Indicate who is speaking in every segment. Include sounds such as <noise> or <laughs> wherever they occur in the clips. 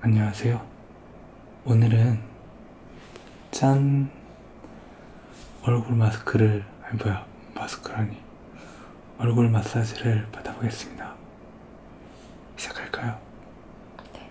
Speaker 1: 안녕하세요. 오늘은 짠 얼굴 마스크를 아니 뭐야 마스크라니 얼굴 마사지를 받아보겠습니다. 시작할까요? 네.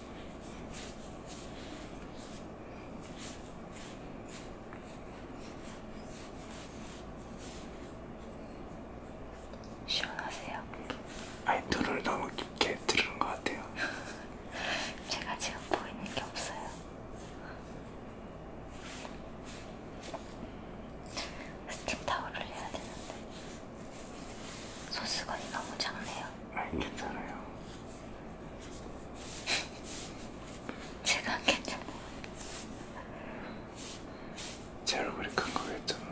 Speaker 1: 시원하세요? 아니 눈을 너무 깊게 들은 것 같아요. <laughs> 제가 지금 보이는 게 없어요. 스팀 타올을 해야 되는데. 소스건이 너무 작네요. 아니 괜찮아요. <laughs> 제가 안 괜찮아요. 제 얼굴이 큰 거겠잖아.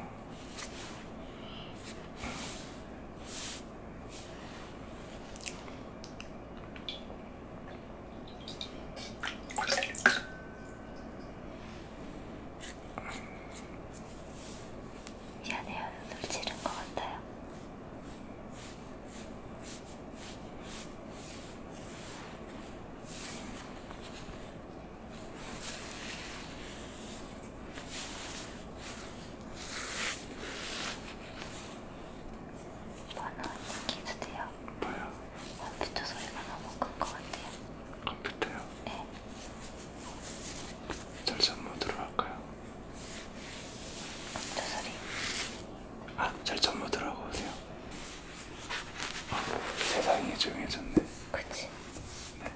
Speaker 1: 미안해요. 눈을 찌른 것 같아요. 번호 기수돼요. 뭐야? 컴퓨터 소리가 너무 큰 것 같아요. 컴퓨터요? 네. 절전 모드로 할까요? 저 소리. 아, 절전 모드로 하고 오세요. 아, 세상이 조용해졌네. 그렇지. 네.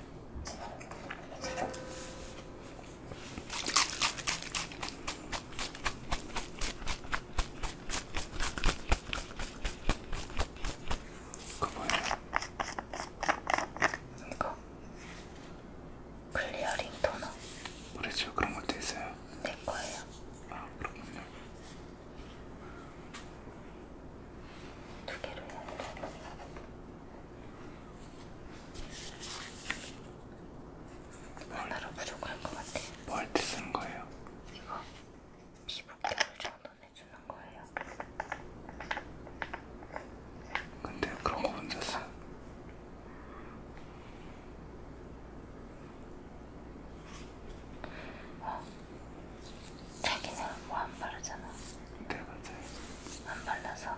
Speaker 1: 그거 뭐예요? 이거 클리어링 토너. 그렇죠. 그런 것도 있어요. 내 거예요. 아 그렇군요. 두 개로 해야 돼요. 하나로 부족할 것 같아요. 뭘때 쓰는 거예요? 이거 피부 결을 정돈해주는 거예요. 같아요. 근데 그런 거 혼자서 어? 자기는 뭐 안 바르잖아. 네 맞아요. 안 발라서.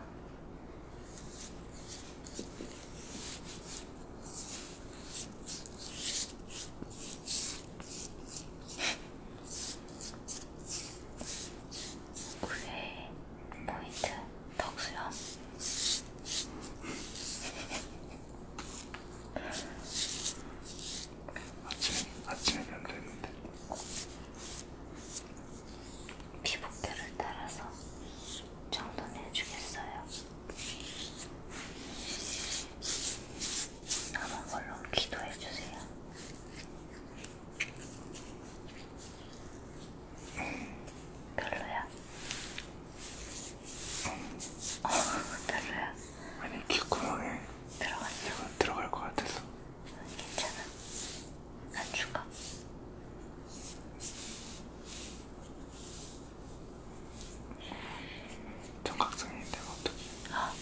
Speaker 1: 9회 포인트 덕수염 아침, 아침이면 되는데 피부결을 따라서 정돈해주겠어요 남은 걸로 기도해주세요 별로야? 어, 별로야? 아니 귓구멍에 들어갔어? 내가 들어갈 것 같아서 괜찮아 안 죽어 정각성인데 어떻게 어.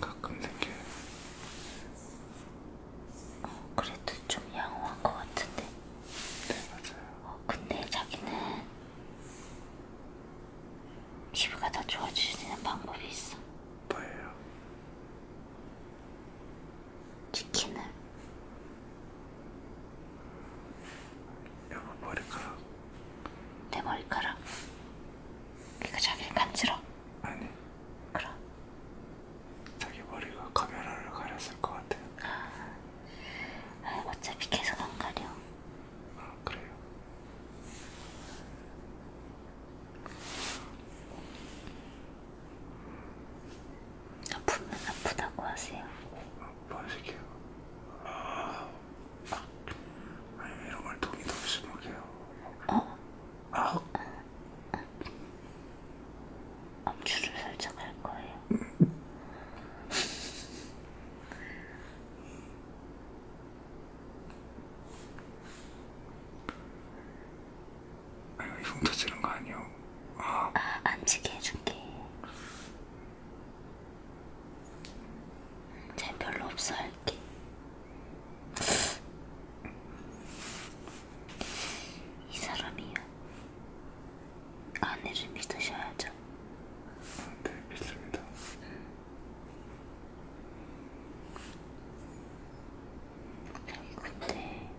Speaker 1: 가끔 생겨요. 어, 그래도 좀 양호한 것 같은데. 네, 맞아요. 어, 근데 자기는 피부가 더 좋아지는 방법이 있어. 뭐예요? 치킨을. 양호 머리카락. 내 머리카락. 그러니까 자기를 간지러. 아니. 그럼. 자기 머리가 카메라를 가렸을 것 같아요. 아, 아, 어차피 계속 안 가려. 아, 그래요. 아프면 아프다고 하세요. 아프시게요. 아, 아, 아니 이런 걸 동의도 없이 먹여요. 어, 암주를 살짝 할 거예요. 아유, 이분 터지는 거 아니요? 아, 아, 앉히게 해줄게. 쟤 별로 없어 할게. 이 사람이요. 아내를 믿으셔야죠. 네, 믿습니다. 저기 음. 근데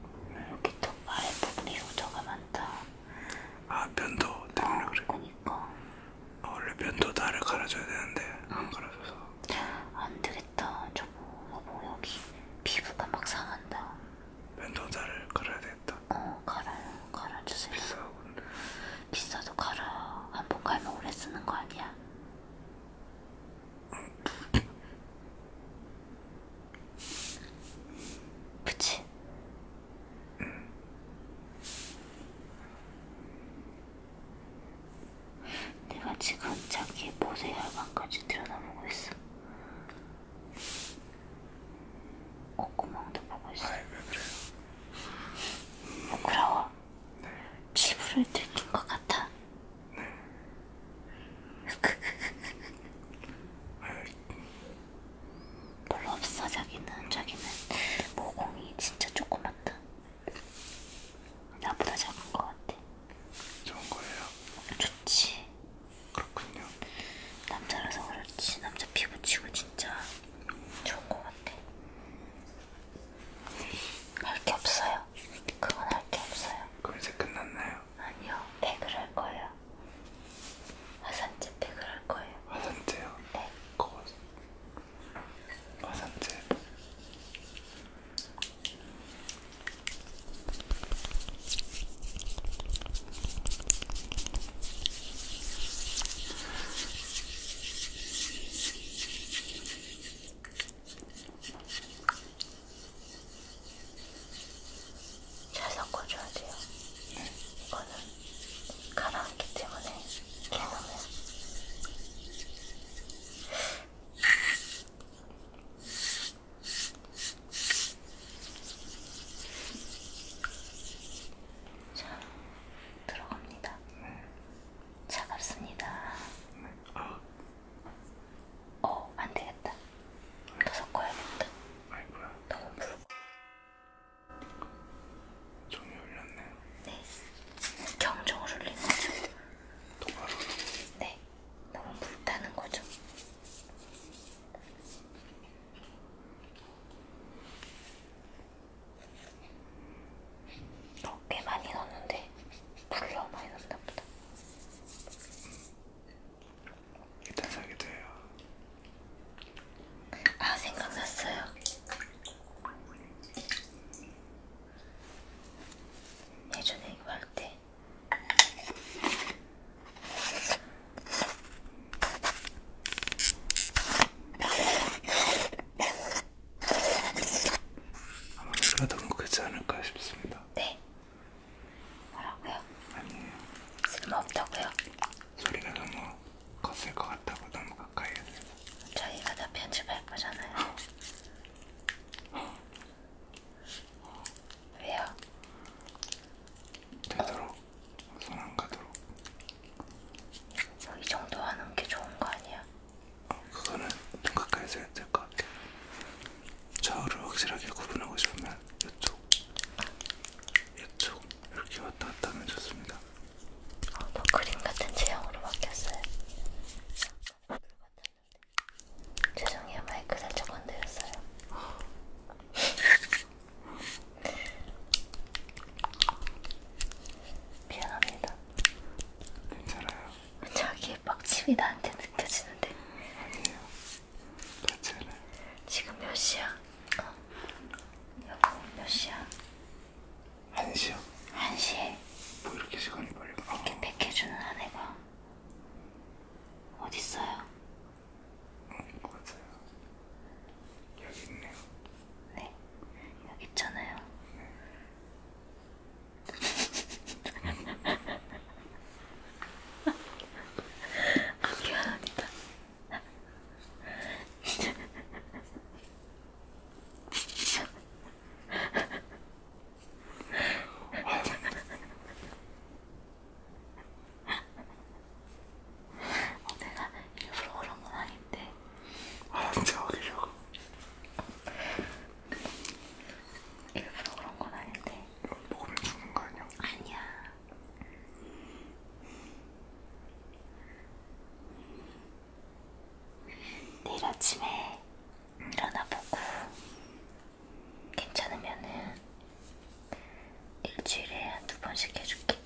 Speaker 1: 여기 또말 부분이 로저가 많다. 아 면도 때문에 어, 아, 그래. 그니까. 아, 원래 면도 다를 갈아줘야 되는데 안 갈아줘서. 안 되겠다. 일단 저거 뭐 여기 피부가 막 상한다. 면도자를 갈아야 되겠다. 어 갈아요. 갈아주세요. 비싸 근데. 비싸도 갈아. 한번 갈면 오래 쓰는 거 아니야? 그치? 응. 내가 지금 자기의 모세 혈관까지 들여다보고 있어. 콧구멍도 보고 있어. 아이, 왜 그래요? 부끄러워. 네. 피부를 들킨 것 같아. 네. <laughs> 별로 없어 자기는. 자기는 모공이 진짜 조그맣다. 나보다 작은 것 같아. 좋은 거예요? 좋지. 그렇군요. 남자라서 그렇지. 남자 피부치고 진짜 좋은 것 같아. 할게 없어요. 그건 할게 없어요. 그럼 이제 끝났나요? 아니요. 팩을 할 거예요. 화산재 팩을 할 거예요. 화산재요? 네. 그거... 화산재. 잘 섞어줘야 돼요. 네. 이거는 가라앉기 때문에 개념을 아. 자, 들어갑니다. 네. 차갑습니다. 네. 아. 어, 안 되겠다. 더 섞어야겠다. 아이고야. 너무 붉고. 종이 울렸네요. 네. 경종을 울린 거죠. 통화로. 네, 너무 불타는 거죠. 어, 꽤 많이 넣었는데 불러 많이 넣었나 보다. 일단 사게 돼요. 아 생각났어요. 예전에 이거 할 때 아마 그러던 거 그렇지 않을까 싶습니다. 네. 뭐라고요? 아니에요. 쓸모없다고요? 소리가 너무 컸을 것 같다고 너무 가까이 했어요. 저희가 다 편집할 거잖아요. <laughs> 왜요? 되도록 손 안 가도록. 저이 정도 하는 게 좋은 거 아니야? 어, 그거는 좀 가까이서 해야 될것 같아. 좌우를 확실하게 구분하고 싶으면 이쪽, 이쪽 이렇게 왔다 갔다 하면 좋습니다. 어, 아, 너 뭐 그림 같은 체형으로 바뀌었어요. 같은 죄송해요 마이크 살짝 건드렸어요. <laughs> 미안합니다. 괜찮아요. 자기의 빡침이 나한테 느껴지는데. 아니에요. 괜찮아요. 지금 몇 시야? 어. 여보 몇 시야? 1시요? 1시에 뭐 이렇게 시간이 빨리 가 이렇게 패해주는 아내가 어딨어요? 응, 맞아요 여기 있네요 네 여기 있잖아요 네. 아 미안합니다 어, 내가 일부러 그런 건 아닌데. 아, 진짜 어리려고. 일부러 그런 건 아닌데. 이거 먹으면 죽는 거 아니야? 아니야. 내일 아침에 일어나보고 괜찮으면은 일주일에 한 두 번씩 해줄게.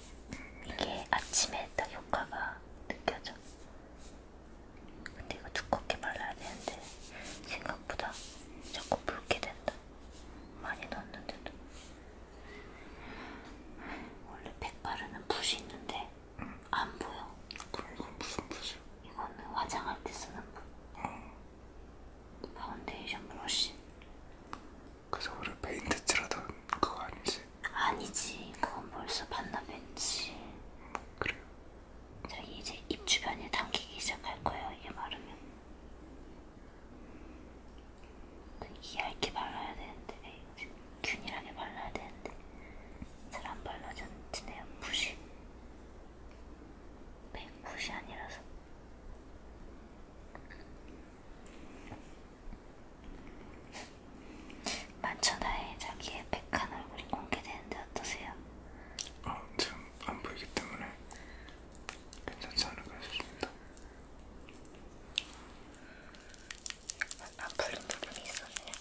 Speaker 1: 이게 아침에 딱 효과가 느껴져. 근데 이거 두껍게 발라야 되는데 생각보다 자꾸 붉게 된다. 많이 넣었는데도. 원래 팩 바르는 붓이 있는데 안 보여. 그럼 이건 무슨 붓이야? 이거는 화장할 때 쓰는 붓. 어. 파운데이션 브러쉬. 그래서 우리 페인트 칠하던 그거 아니지? 아니지. 그건 벌써 반납했지. 음, 그래요. 저기 이제 입 주변에 당기기 시작할 거예요. 이게 마르면. 이 얇게 발라야 되는데, 균일하게 발라야 되는데. 사람 발로 전치네요. 90. 190이 아니라서. 만천하에 자기의 백한 얼굴이 공개되는데 어떠세요? 아, 지금 안 보이기 때문에 괜찮지 않을까 싶습니다. 안 풀린 부분이 있었네요.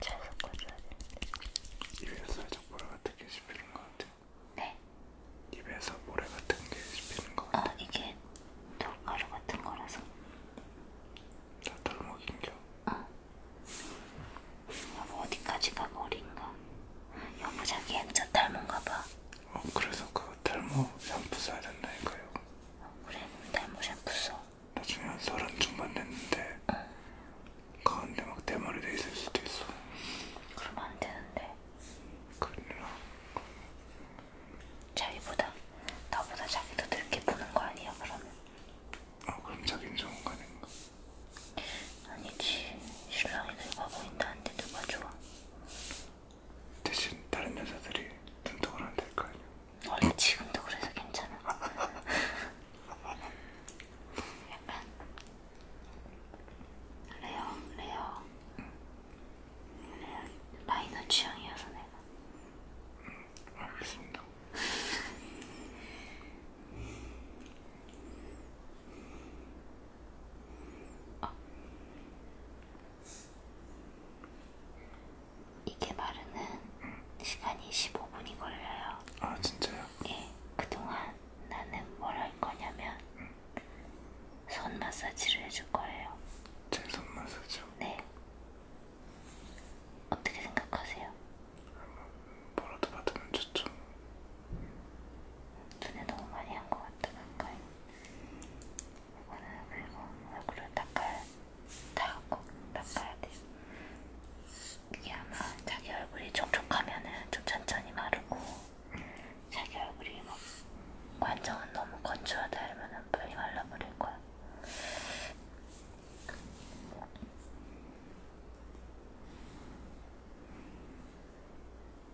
Speaker 1: 잘 섞어줘야 되는데 입에 살짝 모래 같은 게 씹히는 것 같아 네? 입에서 모래 같은 게 씹히는 것 아, 같아 어 이게 돌가루 같은 거라서 다 덜먹인겨? 어 여보 아, 뭐 어디까지가 머리인가? 아, 여보 자기 액자 닮은가 봐 어, 그래서 그 탈모 샴푸 써야 된다니까요. 어, 그래, 뭐 탈모 샴푸 써. 나중에 한 서른 중반 됐는데 응. 가운데 막 대머리 돼 있을 수도 있어. 그러면 안 되는데. 큰일 그러니까. 나. 자기보다 나보다 자기 더 늙게 보는 거 아니야 그러면? 어 그럼 자긴 좋은 거 아닌가? 아니지 신랑이 늙어 보인다는데 누가 좋아? 대신 다른 여자들이 눈독을 안될거 아니야. 원래 아, 지금도 그래서 괜찮아. 약간 레어, 레어, 레어 마이너 취향이어서 내가. 음, 알겠습니다. <laughs> 이게 마르는 시간이 15분이 걸려요. 아 진짜요? 예. 그동안 나는 뭘 할 거냐면 손 마사지를 해줄 거예요. 제 손 마사지요? 네. 어떻게 생각하세요? 뭐라도 받으면 좋죠. 눈에 너무 많이 한 것 같다랄까요? 이거는 그리고 얼굴을 닦아야, 닦고 닦아야 돼요. 이게 아마 자기 얼굴이 촉촉하면은 좀 천천히 마르고 자기 얼굴이 막 관정은 너무 건조하다 이러면은 빨리 말라버릴 거야.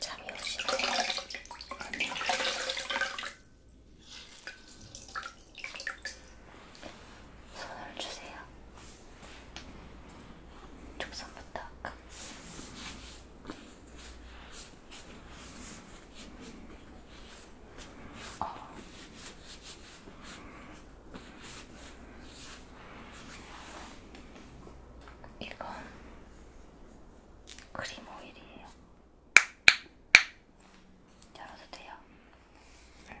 Speaker 1: 잠이 오시고 손을 주세요. 촉선부터 어. 이건 크림 오일이에요. 열어도 돼요? 네.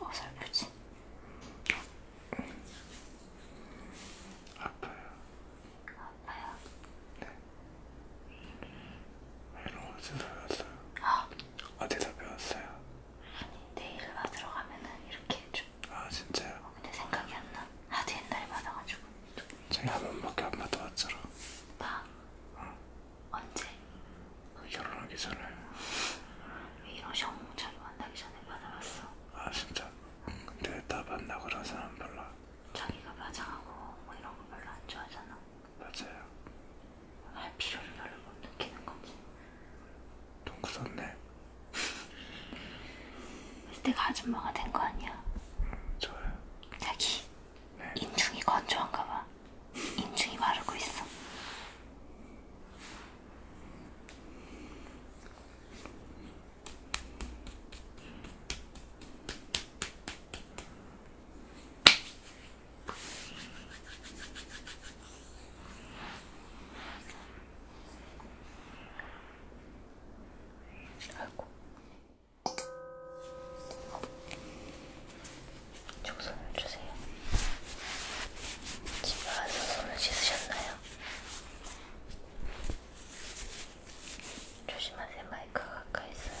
Speaker 1: 어설프지? 아, 아파요. 아파요? 네. 이런 거 어디서 배웠어요? 아. 어디서 배웠어요? 아니 내일 받으러 가면은 이렇게 해줘. 아 진짜요? 어, 근데 생각이 안 나. 하도 옛날에 받아가지고. 저희 한 번밖에 안 받아봤잖아. 나? 응. 어. 언제? 결혼하기 전에. 이런 정몽 자기 만나기 전에 받아봤어. 아 진짜? 응. 근데 나 만나고 나서는 별로. 자기가 마장하고 뭐 이런 거 별로 안 좋아하잖아. 맞아요. 할 필요를 별로 못 느끼는 거지. 돈 굳었네. 그때 아줌마가 된 거 아니야? 응, 좋아요. 자기 네. 인중이 건조한가 봐. 인중이 마르고 있어. 아이고. 좀 손을 주세요. 집에 와서 손을 씻으셨나요? 조심하세요. 마이크가 가까이 있어요.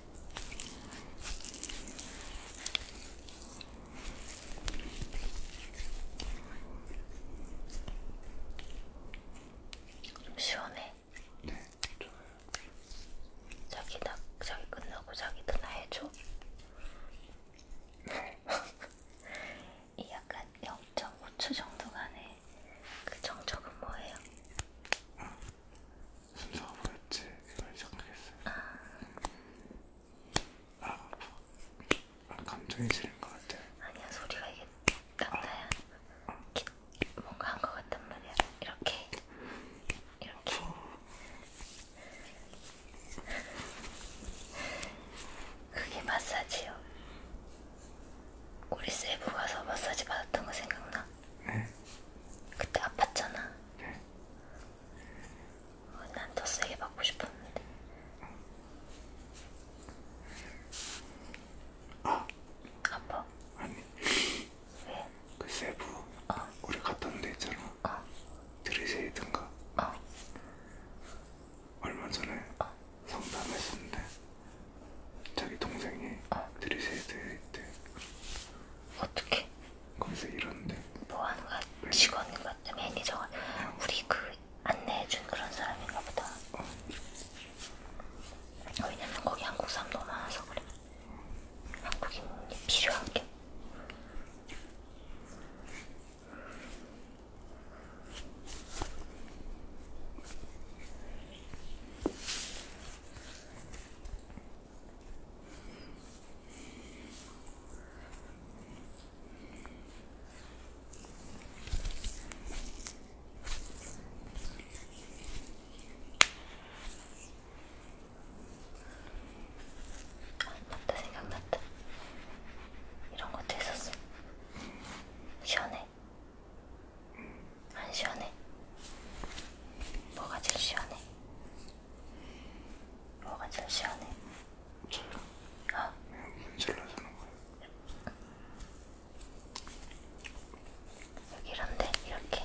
Speaker 1: 좀 시원해. 네, 좋아요. 자기 나 자기 끝나고 자기도 나 해줘. 네. <laughs> 이 약간 0.5초 정도 간의 그 정적은 뭐예요? 음. 순서가 뭐였지? 이걸 시작하겠어요. 아. 아, 아 감정이 지는 것 같아. 아니야 소리가 이게 딱나야 아. 뭔가 한 것 같단 말이야. 이렇게 이렇게. 그게 마사지요. 우리 세부 가서 마사지 받았던 거 생각나? 네. 그때 아팠잖아. 네. 어, 난더 세게 받고 싶었는데. 아. 아파? 아니. 왜? 그 세부. 어. 우리 갔던 데 있잖아. 어. 드리세이든가. 어. 얼마 전에 어. 상담했었는데 자기 동생이 어. 드리세이드에 있대. 어떻게? 거기서 일하는데. 뭐 하는 거야? 직원인 것 같아, 매니저가. 어. 우리 그 안내해준 그런 사람인가 보다. 어. 왜냐면 거기 한국 사람 너무 많아서 그래. 한국인이 필요한 게. 맞다 생각났다. 이런 것도 있었어. 시원해. 안 시원해? 뭐가 제일 시원해? 뭐가 제일 시원해? 젤라. 아? 젤라 사는 거야. 여기 이런데 이렇게.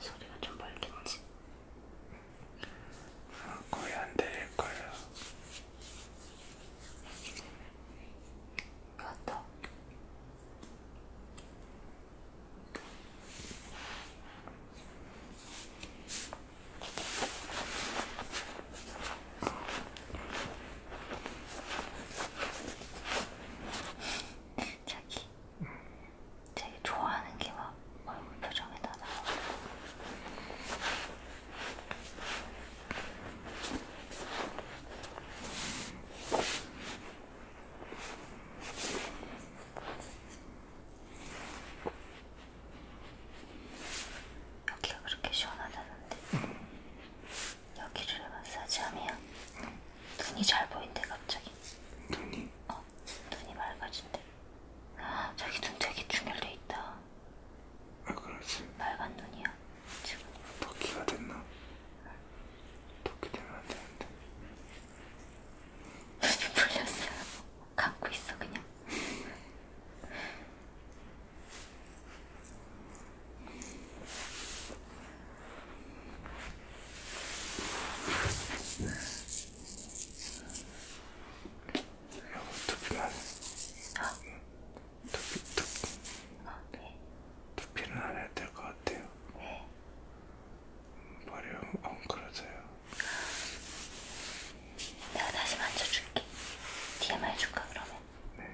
Speaker 1: 소리가 좀 멀겠지? 아, 거의 안 들릴 거야. 그렇다. 음. 자기 되게 좋아하는 게막 얼굴 표정에 다 나와요. 여기가 그렇게 시원하다는데 여기를 마사지하면 눈이 잘 보인대 갑자기. 눈이? 어, 눈이 맑아진대. 아, 자기 눈 되게 충혈돼 있다. 왜 그러지? 맑은 눈이야 지금. 도끼가 됐나? 도끼 되면 안 되는데. 눈이 풀렸어. 감고 있어 그냥. 두피만 아. 두피 두피 아, 네. 두피는 안 해야 될것 같아요. 네. 머리 엉클어져요. 내가 다시 만져줄게. 뒤에 만줄까 그러면? 네.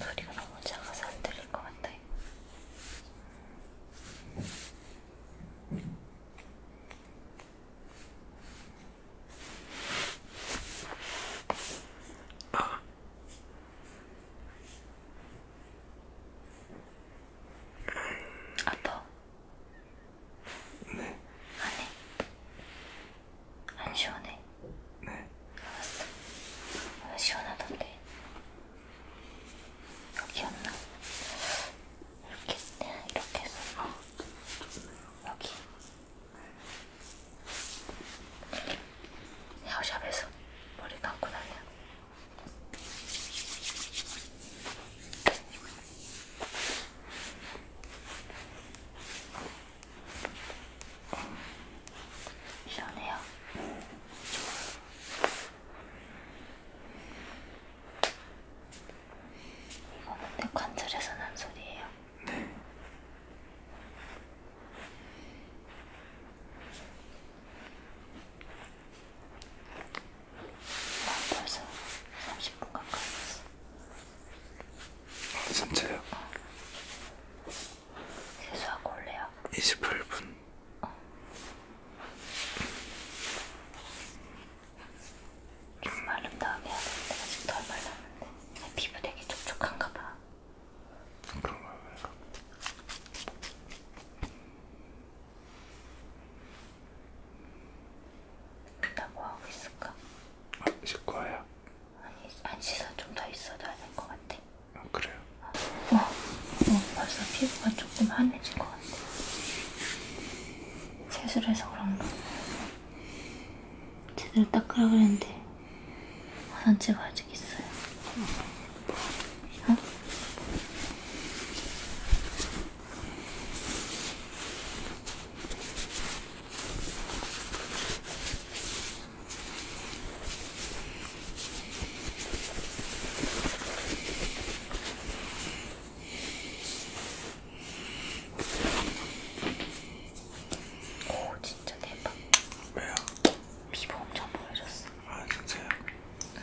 Speaker 1: 소리가 너무 작아서 안 들릴 것 같아. 아, 아파? 네. 안해? 안 시원해? 네. 알았어. 왜 시원하던데? 여기 없나? 이렇게, 이렇게 해서. 어. 여기. 헤어샵에서 머리 감고 다녀. 시원해요. 이거 근데 관절에서 난 소리예요. 네. 아, 벌써 30분 가까이 됐어. 아, 진짜요? 어. 세수하고 올래요? 28분. 어. 좀 마른 다음에 해야 되는데 아직 덜 말랐는데 피부 되게 촉촉한가 봐. 나 뭐하고 있을까? 아, 씻고와요? 아니 안 씻어 좀 더 있어도 안될것 같아 아 그래요? 어, 어, 어 벌써 피부가 조금 환해진 것 같아 세수를 해서 그런가? 제대로 닦으라 그랬는데 화장실 가야 되겠어요. 어? 오 진짜 대박. 왜요? 피부 엄청 보여줬어. 아 진짜요? 응.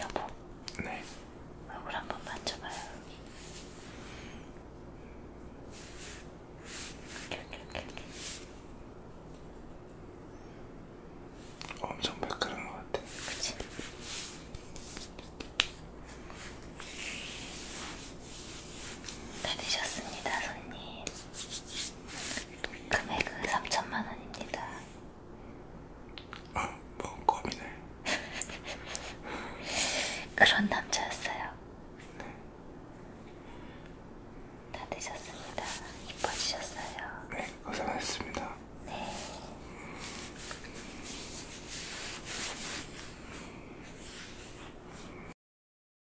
Speaker 1: 여보, 네. 얼굴 한 번 만져봐요. 이렇게, 이렇게, 이렇게. 엄청 매끄러운 것 같아. 그치? 다 드셨습니다, 손님. 금액은 3천만 원입니다. 아, 뭔 껌이네. <laughs> 그런 남자였어요. 네. 다 되셨습니다. 이뻐지셨어요. 네, 고생하셨습니다. 네.